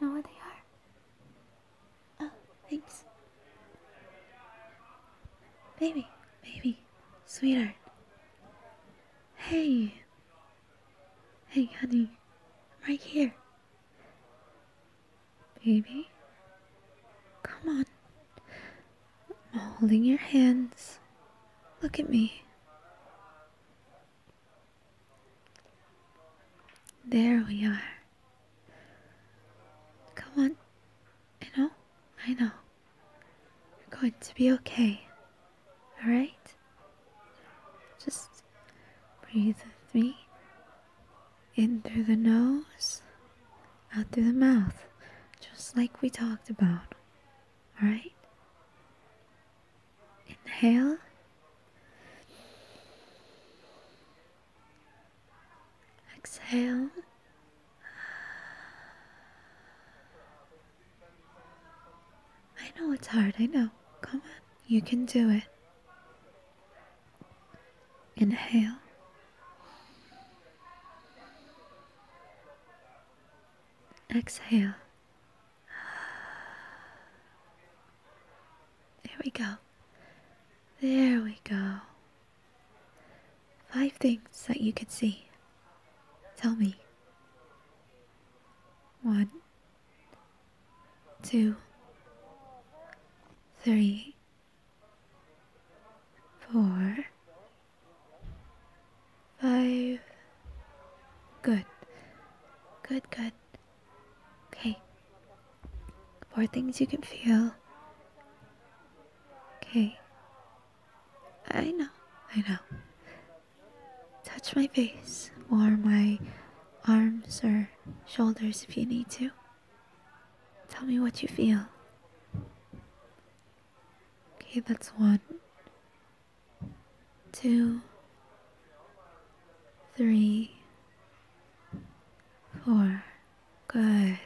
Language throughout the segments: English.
Know where they are? Oh, thanks. Baby, baby, sweetheart. Hey. Hey, honey. right here. Baby? Come on. I'm holding your hands. Look at me. There we are. Come on. I know. I know. You're going to be okay. Alright? Just breathe with me. In through the nose, out through the mouth. Just like we talked about. Alright? Inhale. Exhale. I know it's hard, I know. Come on, you can do it. Inhale. Exhale. There we go. There we go. Five things that you could see. Tell me. One, two, three, four, Five. Good. Good, good. Okay. More things you can feel. Okay. I know, I know. Touch my face or my arms or shoulders if you need to. Tell me what you feel. Okay, that's one two, three, four. Good.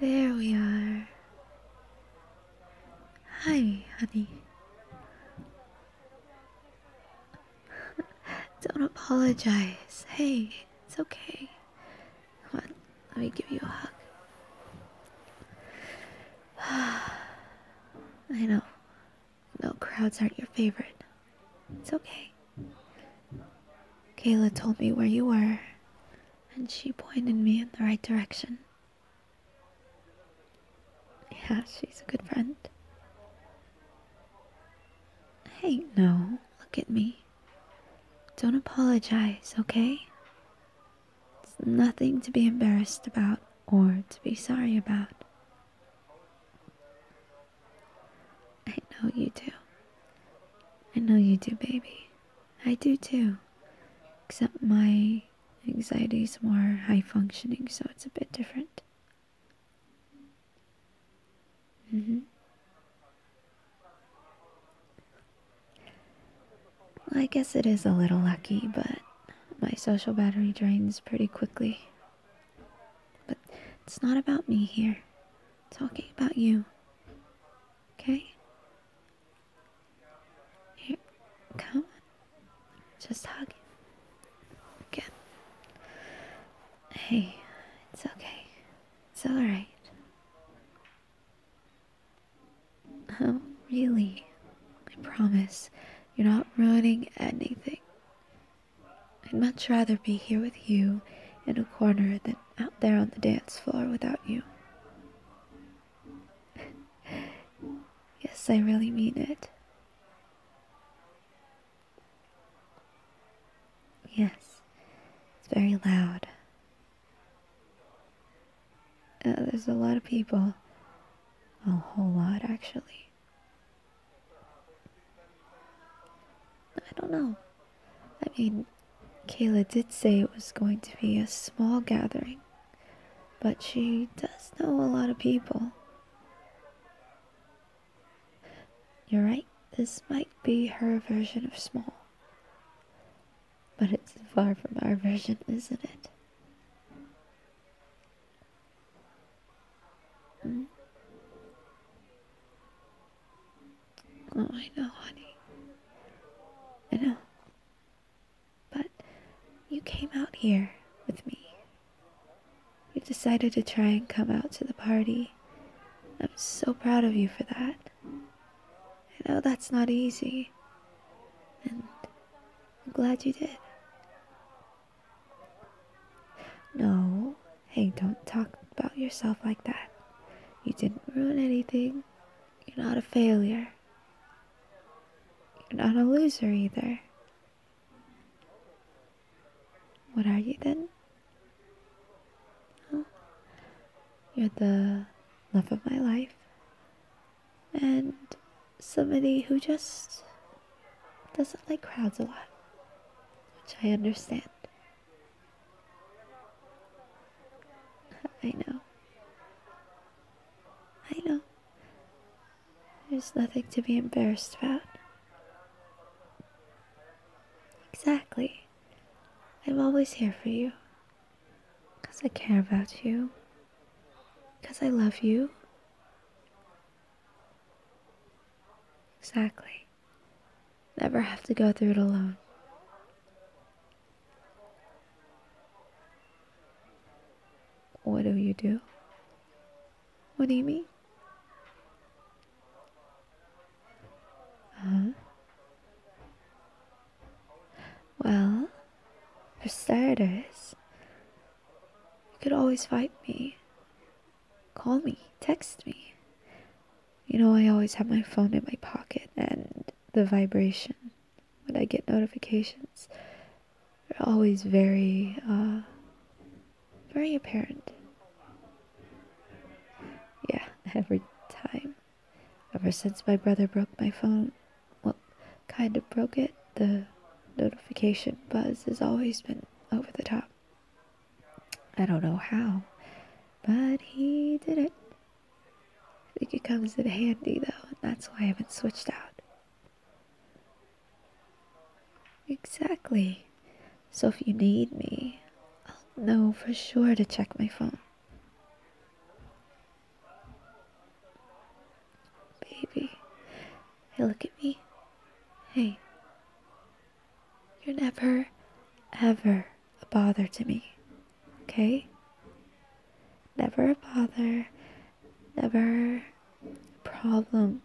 There we are. Hi, honey. Don't apologize. Hey, it's okay. Come on, let me give you a hug. I know. No, crowds aren't your favorite. It's okay. Kayla told me where you were, and she pointed me in the right direction. Yeah, she's a good friend. Hey, no, look at me. Don't apologize, okay? It's nothing to be embarrassed about or to be sorry about. I know you do. I know you do, baby. I do too. Except my anxiety is more high functioning, so it's a bit different. Mm hmm. I guess it is a little lucky, but my social battery drains pretty quickly. But it's not about me here. talking about you. Okay? Here, come on. Just hug. Okay. Hey, it's okay. It's alright. Oh, really? I promise you're not ruining anything. I'd much rather be here with you in a corner than out there on the dance floor without you. yes, I really mean it. Yes, it's very loud. Uh, there's a lot of people. A whole lot, actually. I don't know. I mean, Kayla did say it was going to be a small gathering, but she does know a lot of people. You're right, this might be her version of small. But it's far from our version, isn't it? Hmm? Oh, I know, honey. I know. But you came out here with me. You decided to try and come out to the party. I'm so proud of you for that. I know that's not easy, and I'm glad you did. No, hey, don't talk about yourself like that. You didn't ruin anything. You're not a failure. You're not a loser either. What are you then? Well, you're the love of my life. And somebody who just doesn't like crowds a lot, which I understand. I know. I know. There's nothing to be embarrassed about. Exactly. I'm always here for you. Because I care about you. Because I love you. Exactly. Never have to go through it alone. What do you do? What do you mean? Uh huh. Well, for starters, you could always fight me. Call me, text me. You know, I always have my phone in my pocket and the vibration when I get notifications. They're always very, uh, very apparent. Yeah, every time. Ever since my brother broke my phone, well, kind of broke it, the notification buzz has always been over the top. I don't know how, but he did it. I think it comes in handy though, and that's why I haven't switched out. Exactly. So if you need me, I'll know for sure to check my phone. Baby. Hey, look at me. Hey. You're never, ever a bother to me. Okay? Never a bother. Never a problem.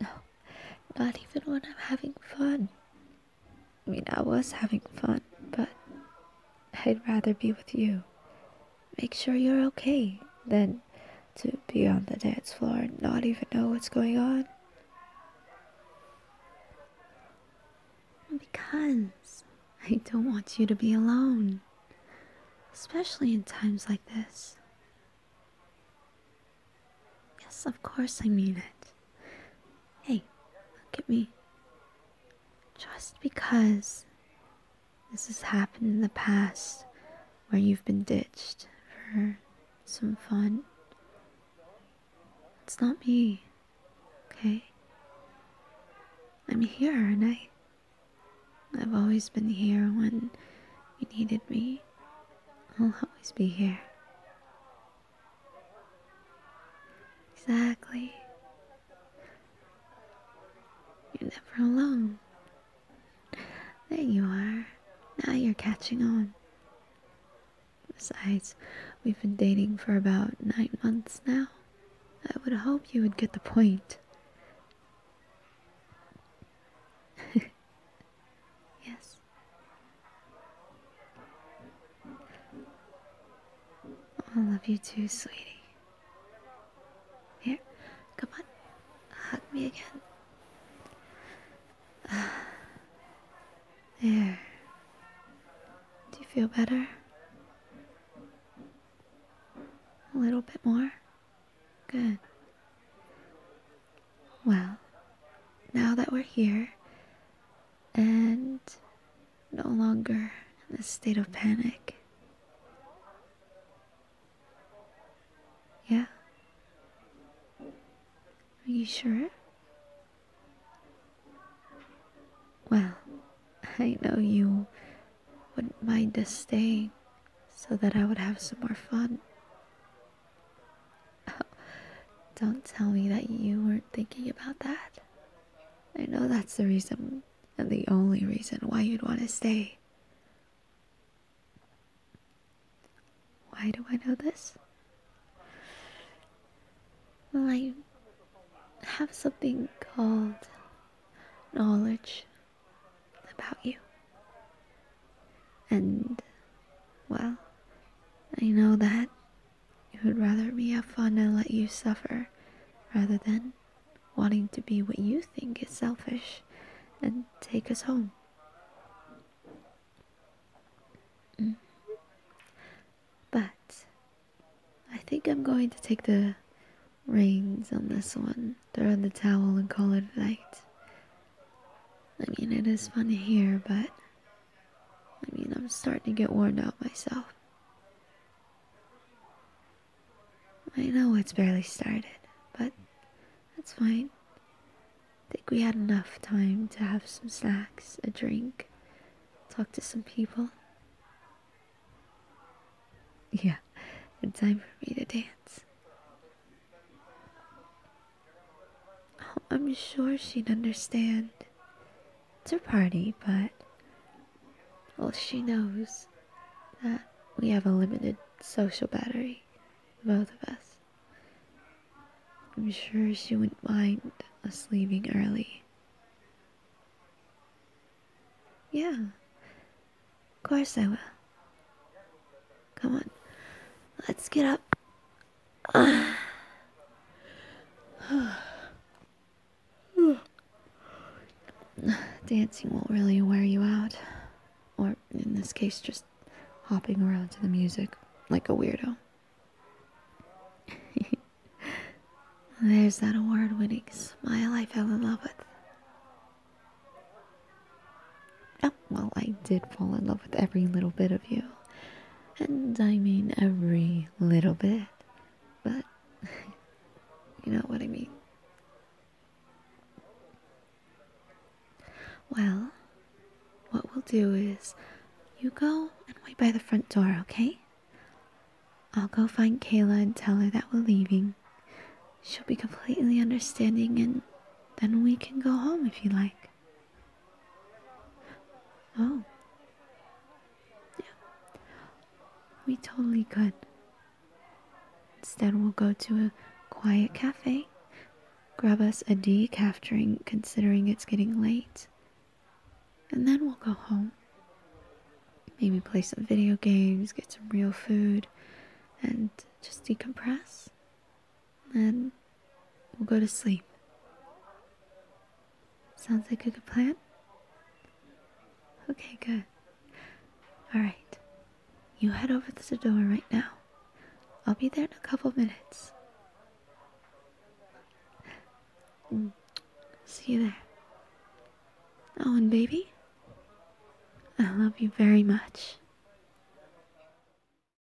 No, not even when I'm having fun. I mean, I was having fun, but I'd rather be with you. Make sure you're okay than to be on the dance floor and not even know what's going on. Because I don't want you to be alone, especially in times like this. Yes, of course I mean it. Hey, look at me. Just because this has happened in the past where you've been ditched for some fun, it's not me, okay? I'm here and I. I've always been here when you needed me. I'll always be here. Exactly. You're never alone. There you are. Now you're catching on. Besides, we've been dating for about nine months now. I would hope you would get the point. yes. I love you too, sweetie. Here, come on. Hug me again. there. Do you feel better? A little bit more? Good. Well, now that we're here and no longer in a state of panic. Yeah? Are you sure? Well, I know you wouldn't mind us staying so that I would have some more fun. Don't tell me that you weren't thinking about that. I know that's the reason and the only reason why you'd want to stay. Why do I know this? Well, I have something called knowledge about you. And well, I know that you would rather me have fun and let you suffer rather than wanting to be what you think is selfish and take us home. Mm. But I think I'm going to take the reins on this one, throw in the towel, and call it a night. I mean, it is fun to hear, but I mean, I'm starting to get worn out myself. I know it's barely started, but that's fine. think we had enough time to have some snacks, a drink, talk to some people. Yeah, it's time for me to dance. I'm sure she'd understand. It's her party, but. Well, she knows that we have a limited social battery, both of us. I'm sure she wouldn't mind us leaving early. Yeah, of course I will. Come on, let's get up. Dancing won't really wear you out. Or, in this case, just hopping around to the music like a weirdo. There's that award winning smile I fell in love with well, I did fall in love with every little bit of you. And I mean every little bit. But, you know what I mean. Well, what we'll do is you go and wait by the front door, okay? I'll go find Kayla and tell her that we're leaving. She'll be completely understanding and then we can go home if you like. Oh. Yeah. We totally could. Instead, we'll go to a quiet cafe, grab us a decaf drink considering it's getting late, and then we'll go home. Maybe play some video games, get some real food, and just decompress. Then we'll go to sleep. Sounds like a good plan? Okay, good. Alright. You head over to the door right now. I'll be there in a couple minutes. See you there. Owen, baby, I love you very much.